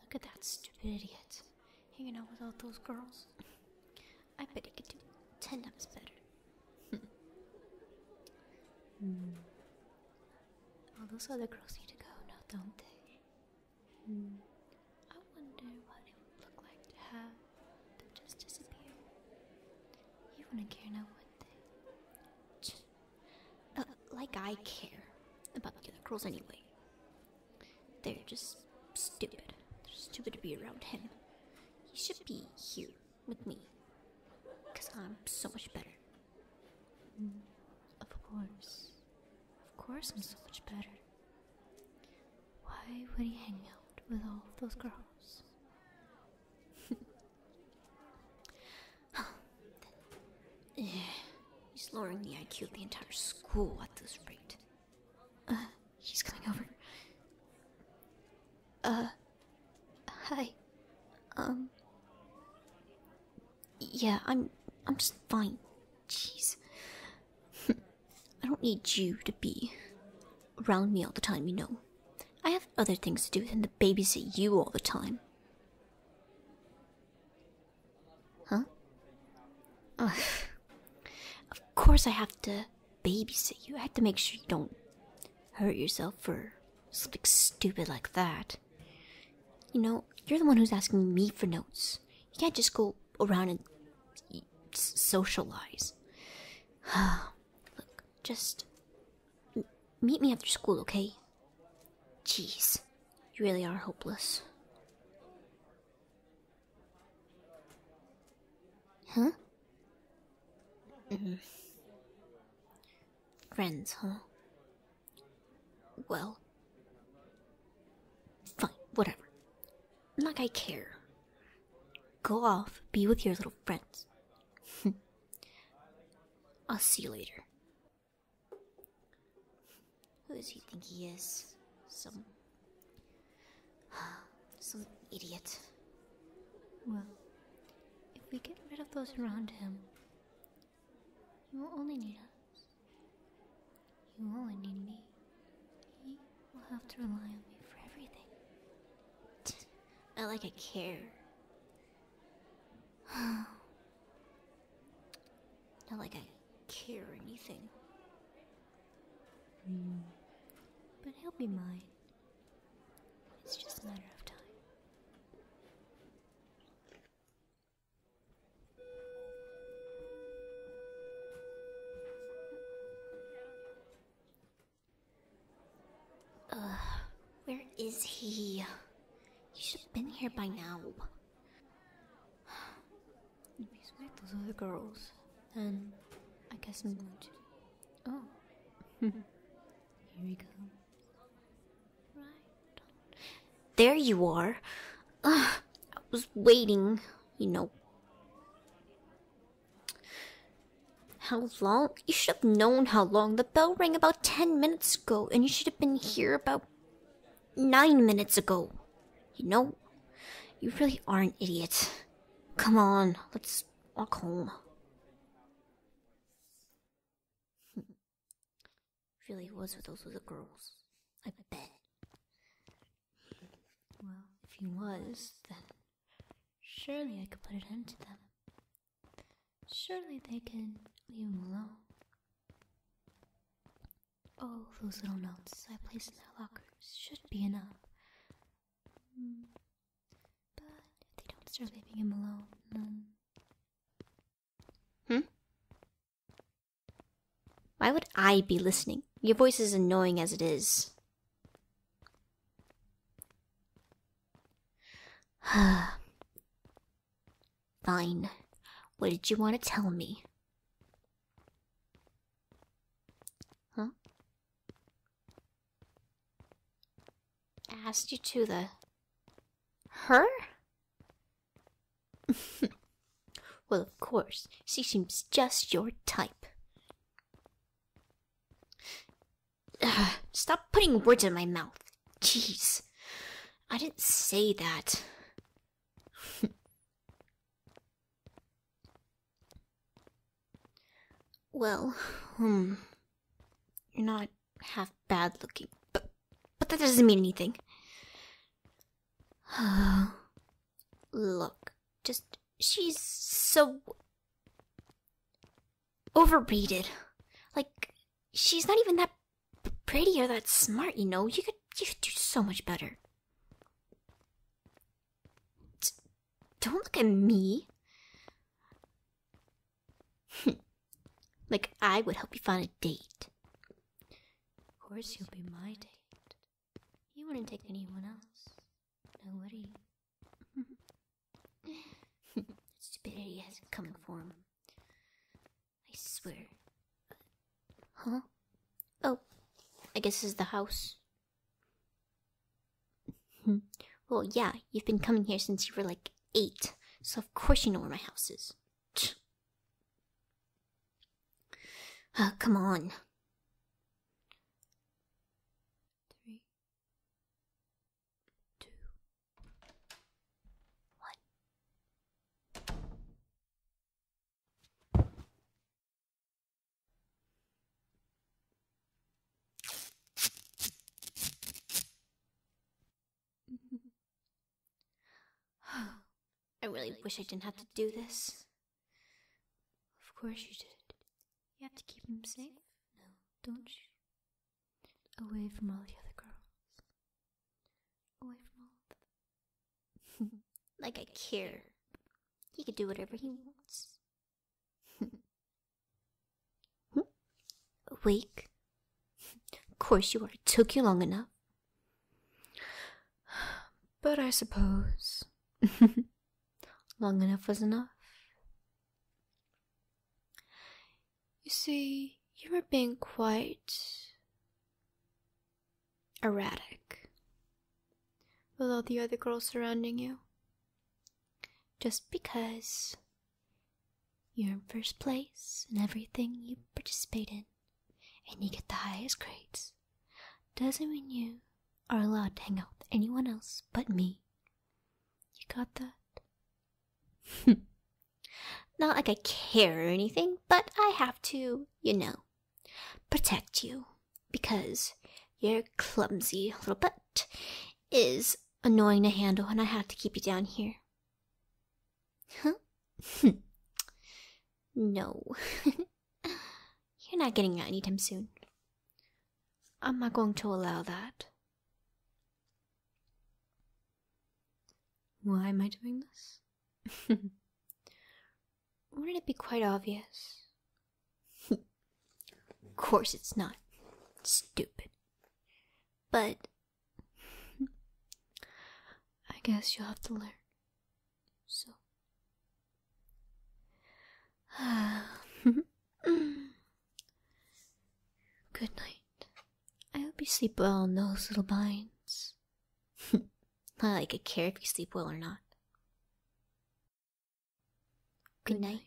Look at that stupid idiot hanging out with all those girls. I bet he could do ten times better. mm. All those other girls need to go now, don't they? Mm. I wonder what it would look like to have them just disappear. You wouldn't care now, would they? Uh, like I care about the other girls anyway. They're just stupid. They're stupid to be around him. He should be here with me. Because I'm so much better. Mm, of course. Of course I'm so much better. Why would he hang out with all those girls? He's lowering the IQ of the entire school at this rate. Uh, he's coming over. Uh, hi. Um, yeah, I'm, I'm just fine. Jeez. I don't need you to be around me all the time, you know. I have other things to do than to babysit you all the time. Huh? Of course, I have to babysit you. I have to make sure you don't hurt yourself for something stupid like that. You know, you're the one who's asking me for notes. You can't just go around and socialize. Look, just meet me after school, okay? Jeez, you really are hopeless. Huh? Mm. Friends, huh? Well, fine, whatever. Like I care. Go off, be with your little friends. I'll see you later. Who does he think he is? Some. some idiot. Well, if we get rid of those around him, he will only need us. He will only need me. He will have to rely on me for everything. I like I care. Not like I care or anything. Hmm. But he'll be mine. It's just a matter of time where is he? He should have been here by now. Anyways, where those other girls? And I guess I'm going to. Oh. here we go. Right. There you are. I was waiting, you know. How long? You should have known how long. The bell rang about 10 minutes ago, and you should have been here about 9 minutes ago. You know, you really are an idiot. Come on, let's walk home. really was with those other girls. I bet. Well, if he was, then surely I could put an end to them. Surely they can leave him alone. Oh, those little notes I placed in their lockers should be enough. Mm. But if they don't start leaving him alone, then. Hmm? Why would I be listening? Your voice is annoying as it is. Fine. What did you want to tell me? Huh? I asked you to the. Her? Well, of course, she seems just your type. Ugh, stop putting words in my mouth. Jeez. I didn't say that. well, hmm. You're not half bad looking, but, but that doesn't mean anything. Look, just. She's so. overrated. Like, she's not even that pretty or that smart, you know? You could, you could do so much better. don't look at me. like, I would help you find a date. Of course, you'll be my date. He wouldn't take anyone else. Nobody. stupidity has it coming for him. I swear. Huh? Oh, I guess it's the house. well, yeah, you've been coming here since you were like eight, so of course you know where my house is. Oh, come on. Three, two, one. I really wish I didn't have to do this. Of course you did. You have to keep him safe. No, don't you? Away from all the other girls. Away from all the... like I care. He can do whatever he wants. Awake of course, you are. It took you long enough. But I suppose long enough was enough. You see, you were being quite erratic with all the other girls surrounding you. Just because you're in first place in everything you participate in, and you get the highest grades. Doesn't mean you are allowed to hang out with anyone else but me. You got that? Not like I care or anything, but I have to, you know, protect you because your clumsy little butt is annoying to handle and I have to keep you down here. Huh? no. You're not getting out anytime soon. I'm not going to allow that. Why am I doing this? Wouldn't it be quite obvious? of course it's not. Stupid. But I guess you'll have to learn. So. Good night. I hope you sleep well in those little binds. Not that I care if you sleep well or not. Good night.